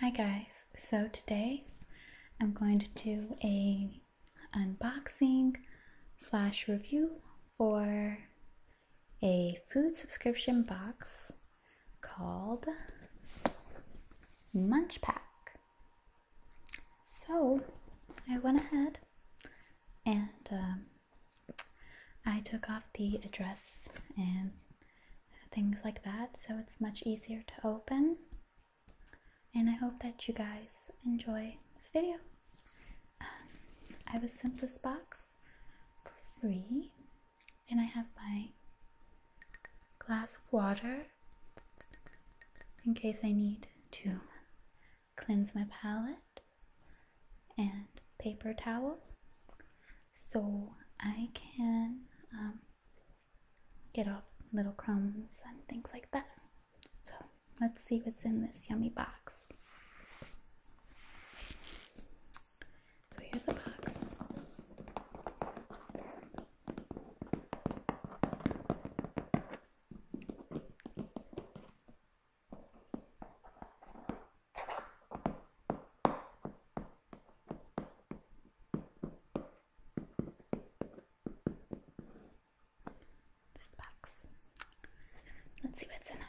Hi guys, so today I'm going to do a unboxing slash review for a food subscription box called Munch Pack. So I went ahead and um, I took off the address and things like that so it's much easier to open and I hope that you guys enjoy this video. Uh, I was sent this box for free and I have my glass of water in case I need to cleanse my palette and paper towel so I can um, get all little crumbs and things like that. So let's see what's in this yummy box. So here's the box. It's the box. Let's see what's in it.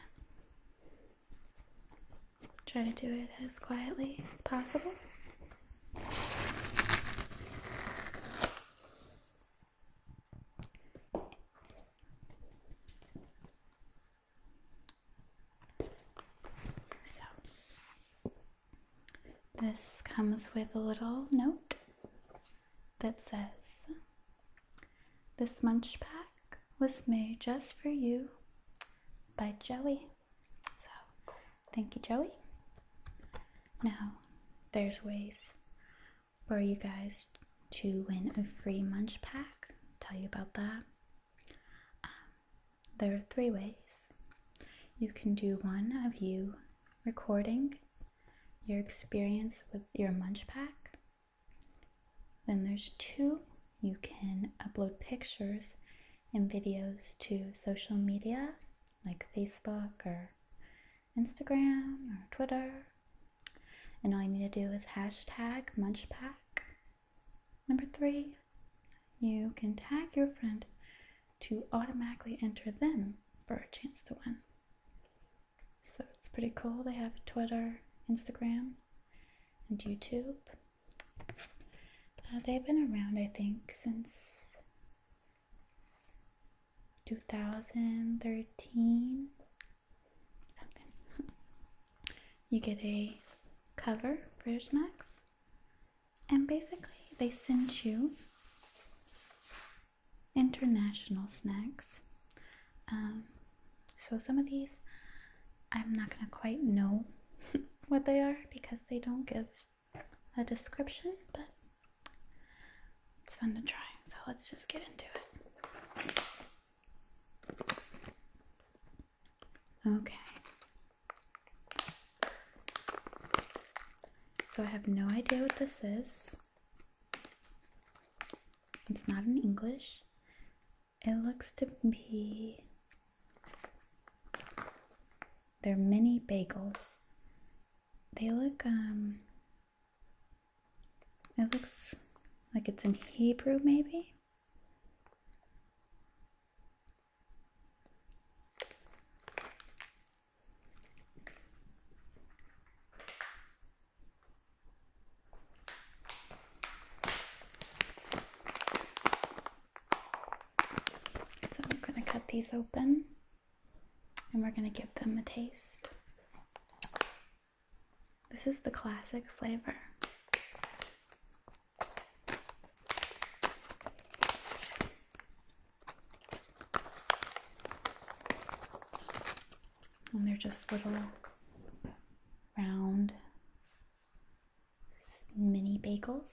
Try to do it as quietly as possible. So, this comes with a little note that says, This munch pack was made just for you by Joey. So, thank you, Joey. Now, there's ways for you guys to win a free munch pack. tell you about that. Um, there are three ways. You can do one of you recording your experience with your munch pack. Then there's two, you can upload pictures and videos to social media like Facebook or Instagram or Twitter. And all you need to do is hashtag munchpack Number three, you can tag your friend to automatically enter them for a chance to win. So it's pretty cool. They have Twitter, Instagram, and YouTube. Uh, they've been around, I think, since 2013, something. you get a cover for your snacks, and basically, they sent you international snacks. Um, so, some of these I'm not going to quite know what they are because they don't give a description, but it's fun to try. So, let's just get into it. Okay. So I have no idea what this is. It's not in English. It looks to be. They're mini bagels. They look, um. It looks like it's in Hebrew, maybe? So we're going to cut these open and we're going to give them a taste. This is the classic flavor. And they're just little round mini bagels.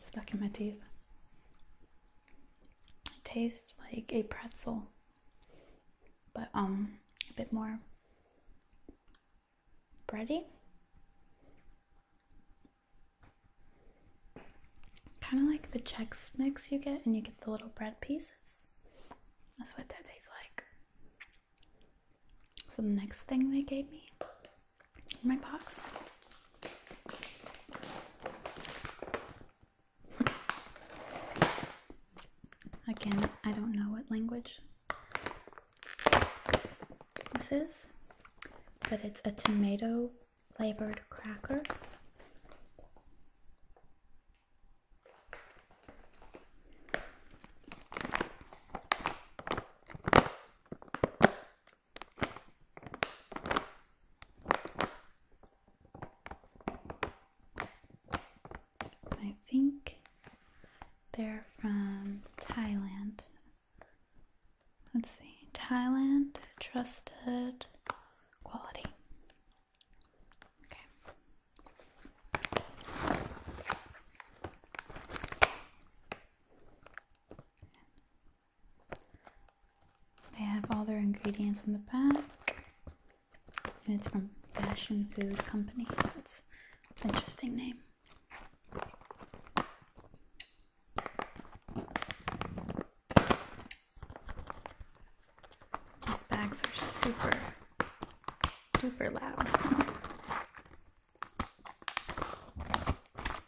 stuck in my teeth. It tastes like a pretzel, but um, a bit more bready. Kind of like the Chex mix you get, and you get the little bread pieces. That's what that tastes like. So the next thing they gave me my box Again, I don't know what language this is, but it's a tomato flavored cracker. I think they're from Thailand. Let's see. Thailand trusted quality. Okay. They have all their ingredients in the back, and it's from Fashion Food Company, so it's an interesting name. These bags are super, super loud.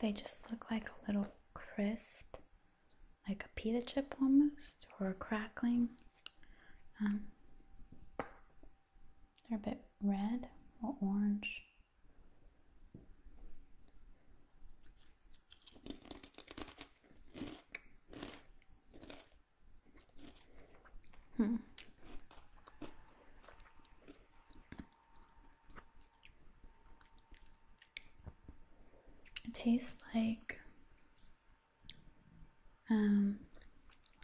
They just look like a little crisp, like a pita chip almost, or a crackling. Um, they're a bit red or orange. Hmm. It tastes like um,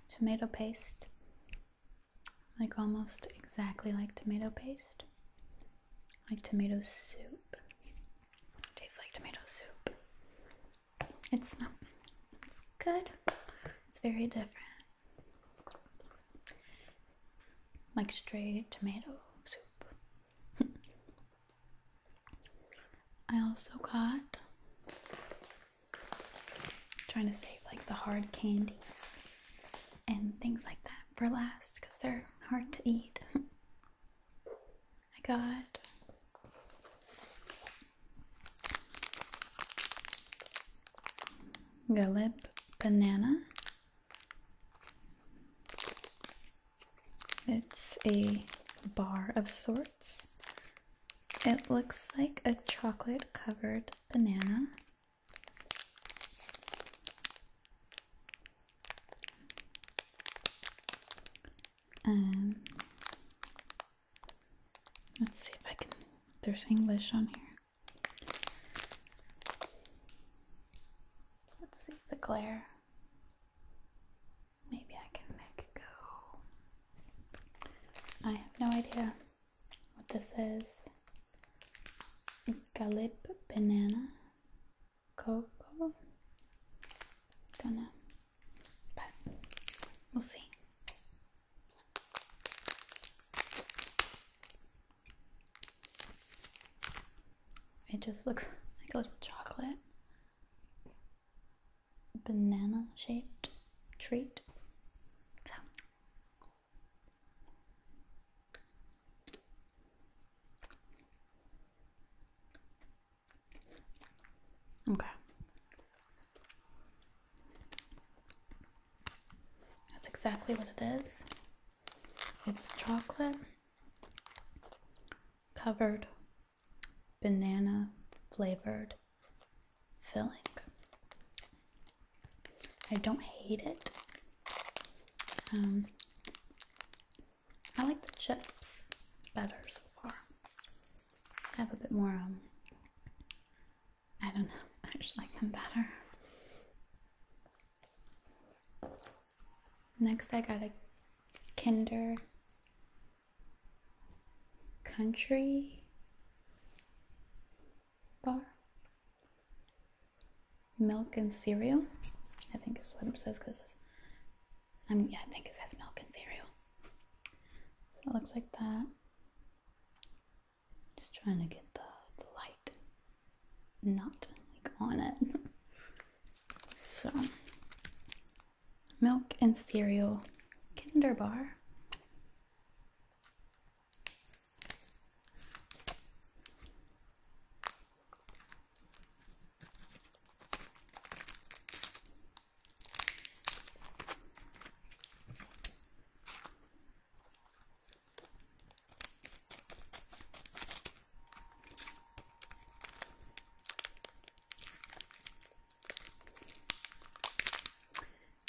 tomato paste, like almost exactly like tomato paste, like tomato soup. Tastes like tomato soup. It's not. It's good. It's very different. Like straight tomato soup. I also got trying to save like the hard candies and things like that for last because they're hard to eat. I got Galip banana. It's a bar of sorts. It looks like a chocolate covered banana. Um, let's see if I can. There's English on here. Let's see the glare. Maybe I can make go. I have no idea what this is. Galip banana cocoa. Don't know, but we'll see. It just looks like a little chocolate banana shaped treat. Okay. That's exactly what it is. It's chocolate covered banana flavored filling. I don't hate it. Um, I like the chips better so far. I have a bit more, um, I don't know, I just like them better. Next, I got a Kinder Country bar milk and cereal. I think is what it says because I yeah, I think it says milk and cereal. So it looks like that. Just trying to get the, the light not like on it. So milk and cereal Kinderbar.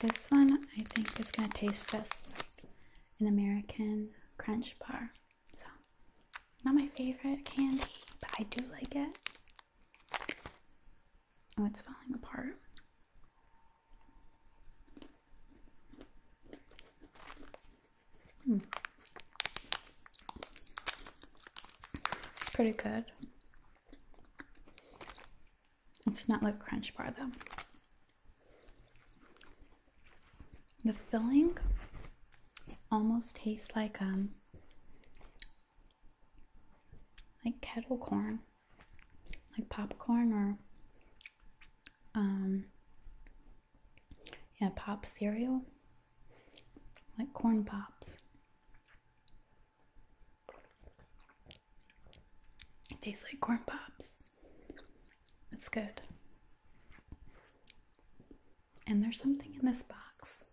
This one I think is going to taste just like an American crunch bar. So, not my favorite candy, but I do like it. Oh, it's falling apart. Hmm. It's pretty good. It's not like Crunch Bar though. The filling almost tastes like um like kettle corn, like popcorn or um yeah, pop cereal, like corn pops. It tastes like corn pops. It's good. And there's something in this box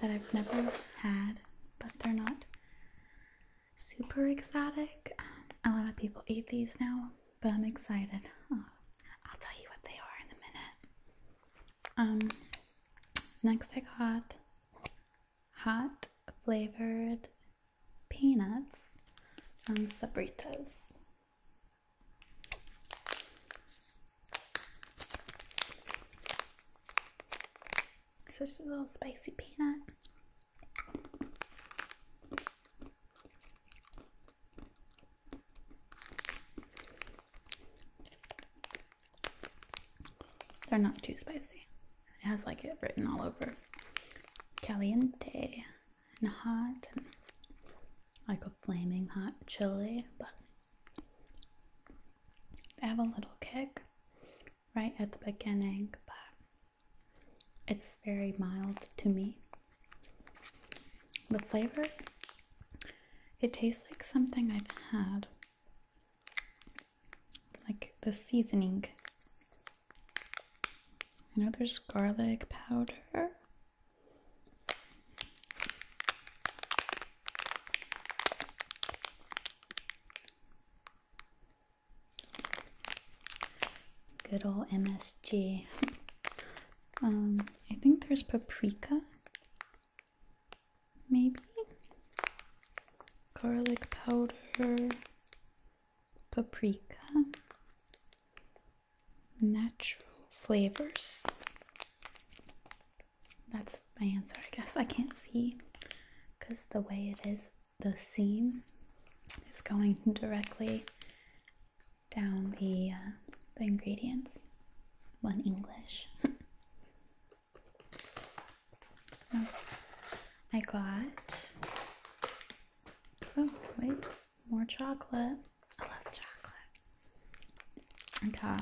that I've never had, but they're not super exotic. a lot of people eat these now, but I'm excited. Uh, I'll tell you what they are in a minute. Um, next, I got hot flavored peanuts on sabritas such a little spicy peanut. They're not too spicy. It has like it written all over. Caliente and hot, like a flaming hot chili, but I have a little kick right at the beginning, but it's very mild to me. The flavor, it tastes like something I've had, like the seasoning. I know there's garlic powder. Good old MSG. Um, I think there's paprika, maybe garlic powder, paprika, natural flavors. That's my answer, I guess. I can't see because the way it is, the seam is going directly down the, uh, the ingredients. One English. Oh, I got. Oh, wait. More chocolate. I love chocolate. Okay.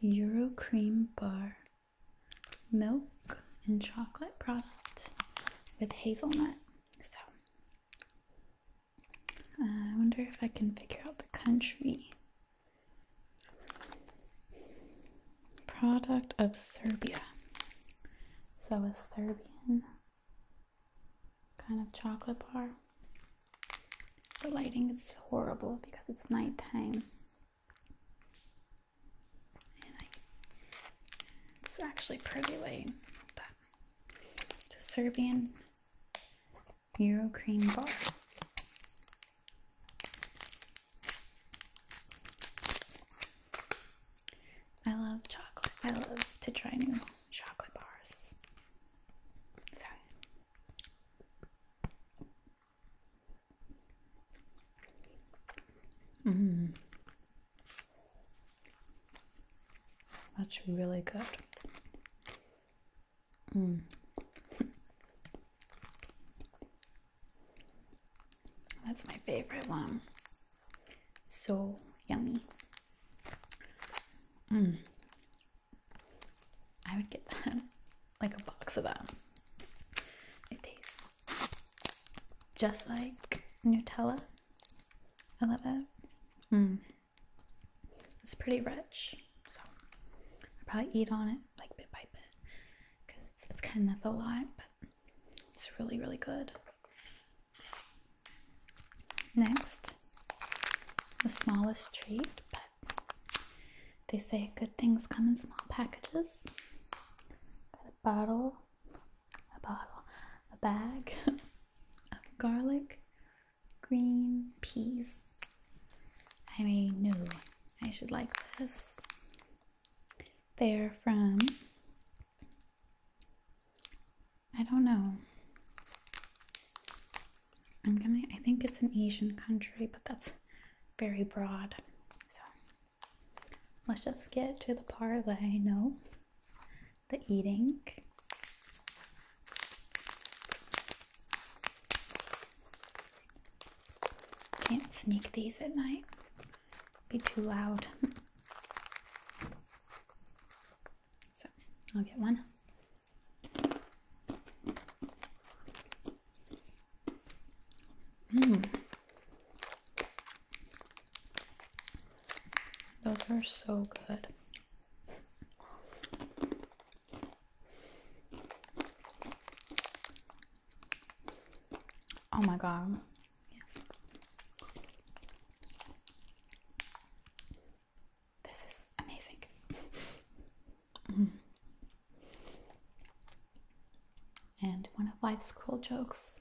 Euro cream bar, milk and chocolate product with hazelnut. So uh, I wonder if I can figure out the country. Product of Serbia. So a Serbian kind of chocolate bar. The lighting is horrible because it's nighttime. it's actually pretty late, Just Serbian Euro cream bar. I love chocolate. I love to try new chocolate bars. Sorry. Mmm. That's really good. Mm. That's my favorite one. So yummy. Mm. I would get that, like a box of that. It tastes just like Nutella. I love it. Mm. It's pretty rich, so I probably eat on it like bit by bit because it's, kind of a lot, but it's really, really good. Next, the smallest treat, but they say good things come in small packages. Got a bottle, a bottle, a bag. garlic green peas. I knew I should like this. They're from, I don't know. I'm gonna, I think it's an Asian country, but that's very broad. So let's just get to the parlay. No, the eating. Can't sneak these at night. Be too loud. so I'll get one. Mm. Those are so good. Oh my god. This is amazing. And one of life's cruel jokes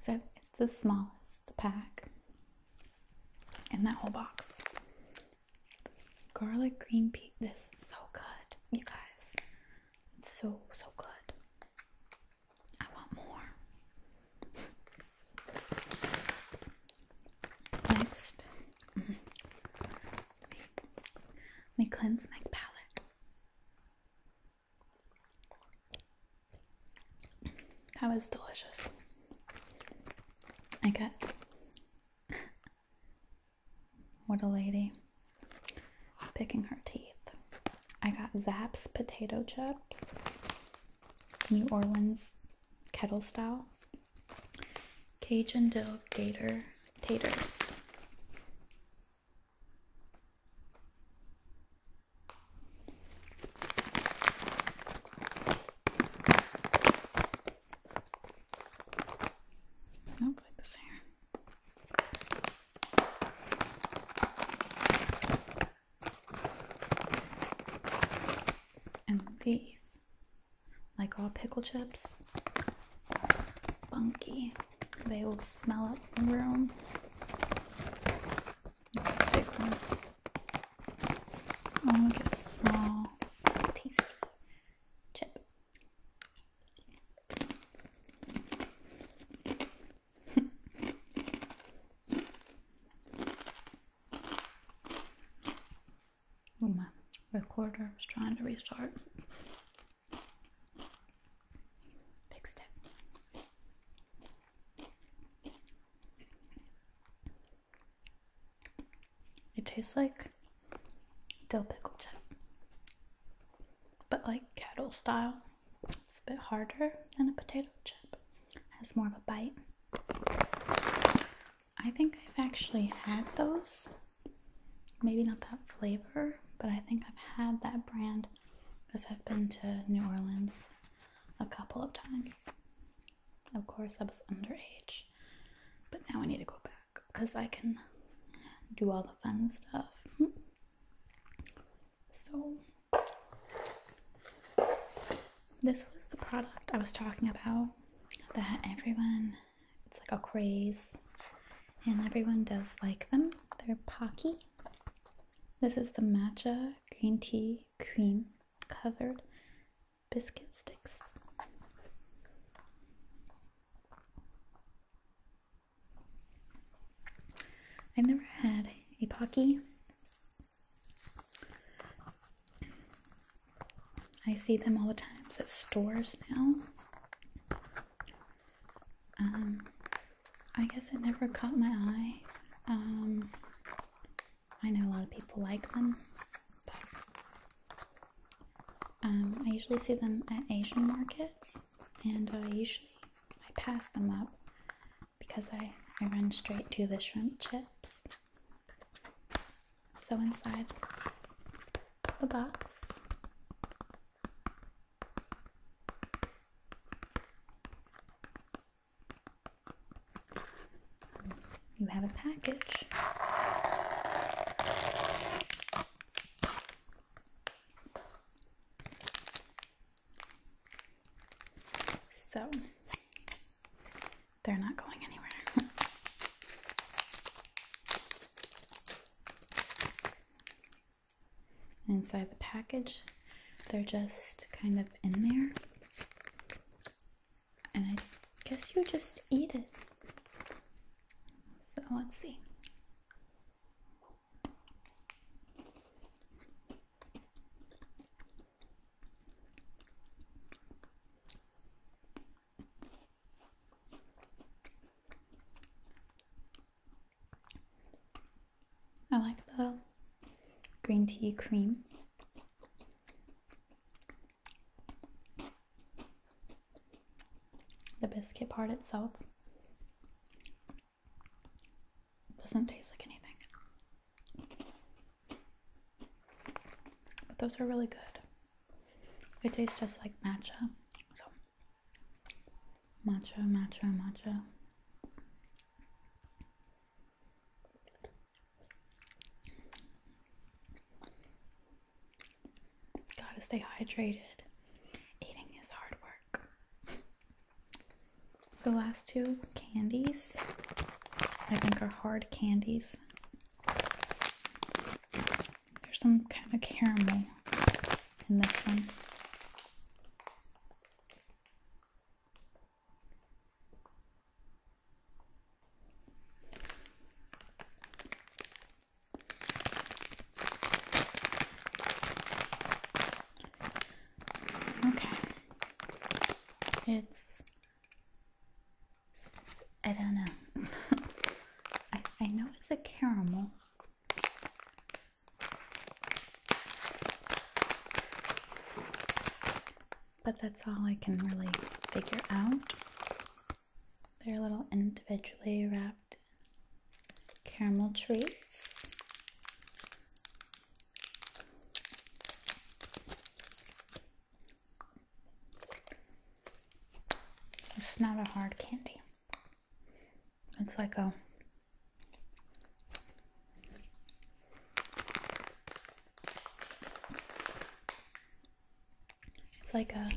is it's the smallest pack and that whole box. Garlic green pea. This is so good, you guys. It's so, so good. I want more. Next, mm -hmm. cleanse my palette. That was delicious. I got. what a lady. Picking her teeth. I got Zaps potato chips, New Orleans kettle style, Cajun dill gator taters. I'll this here. And these, like all pickle chips, funky. They will smell up the room. Oh, look at this small, tasty chip. oh, my recorder was trying to restart. Fixed it. It tastes like dill pickle chip, but like kettle style. It's a bit harder than a potato chip. has more of a bite. I think I've actually had those. Maybe not that flavor, but I think I've had that brand because I've been to New Orleans a couple of times of course, I was underage. But now I need to go back because I can do all the fun stuff. Hmm. So, this was the product I was talking about that everyone, it's like a craze, and everyone does like them. They're Pocky. This is the matcha green tea cream covered biscuit sticks. i never had a Pocky. I see them all the times at stores now. Um, I guess it never caught my eye. Um, I know a lot of people like them, but um, I usually see them at Asian markets, and I usually I pass them up because I, I run straight to the shrimp chips. So inside the box you have a package. So they're not going anywhere. Inside the package they're just kind of in there. And I guess you just eat it. So let's see. I like the green tea cream. The biscuit part itself doesn't taste like anything. But those are really good. It tastes just like matcha. So matcha, matcha, matcha. Gotta stay hydrated. Eating is hard work. So, last two candies I think are hard candies. There's some kind of caramel in this one. Okay. It's I don't know. I I know it's a caramel but that's all I can really figure out. They're little individually wrapped caramel treats. It's not a hard candy. It's like a it's like a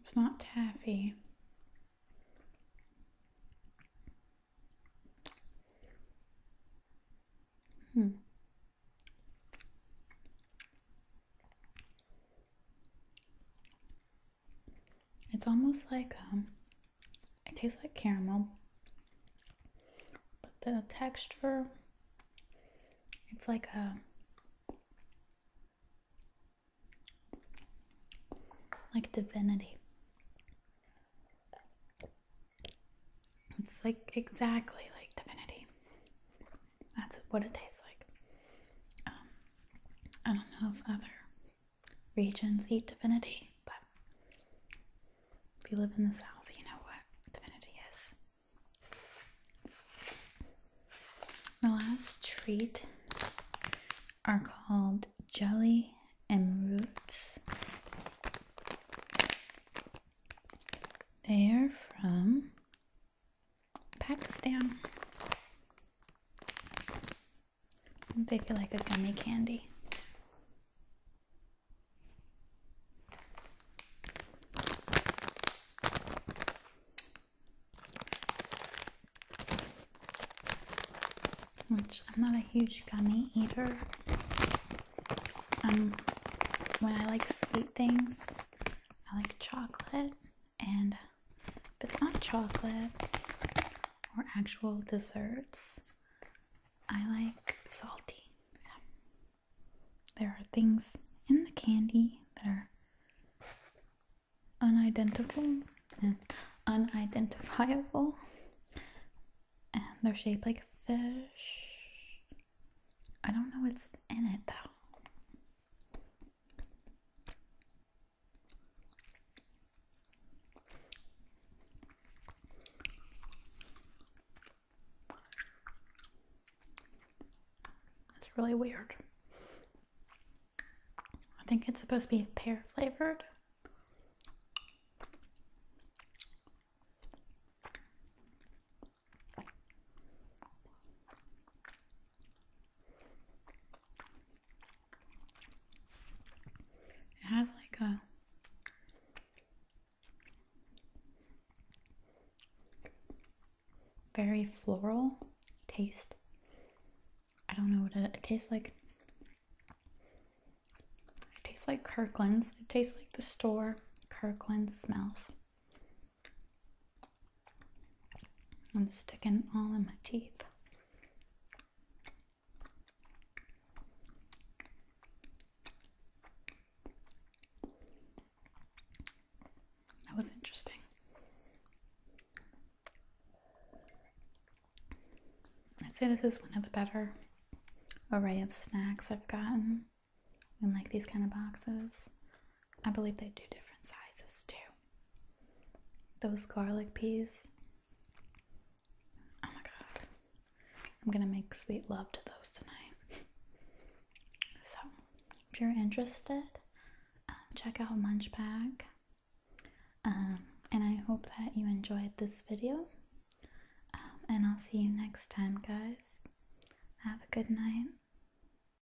It's not taffy. Hmm. It's almost like um, it tastes like caramel, but the texture, it's like a like divinity. It's like exactly like divinity. That's what it tastes like. Um, I don't know if other regions eat divinity, but if you live in the South, you know what divinity is. The last treat are called jelly and roots. They are from Pakistan. They feel like a gummy candy. Which I'm not a huge gummy eater. Um, when I like sweet things, I like chocolate and if it's not chocolate or actual desserts, I like salty. there are things in the candy that are unidentifiable and unidentifiable and they're shaped like fish. I don't know what's in it though. It's really weird. I think it's supposed to be pear flavored. It has like a very floral taste. I don't know what it, tastes like. It tastes like Kirkland's. It tastes like the store Kirkland smells. I'm sticking all in my teeth. That was interesting. I'd say this is one of the better array of snacks I've gotten in like these kind of boxes. I believe they do different sizes too. Those garlic peas. Oh my god. I'm gonna make sweet love to those tonight. so, if you're interested, um, check out Munch um, and I hope that you enjoyed this video. Um, and I'll see you next time, guys. Have a good night.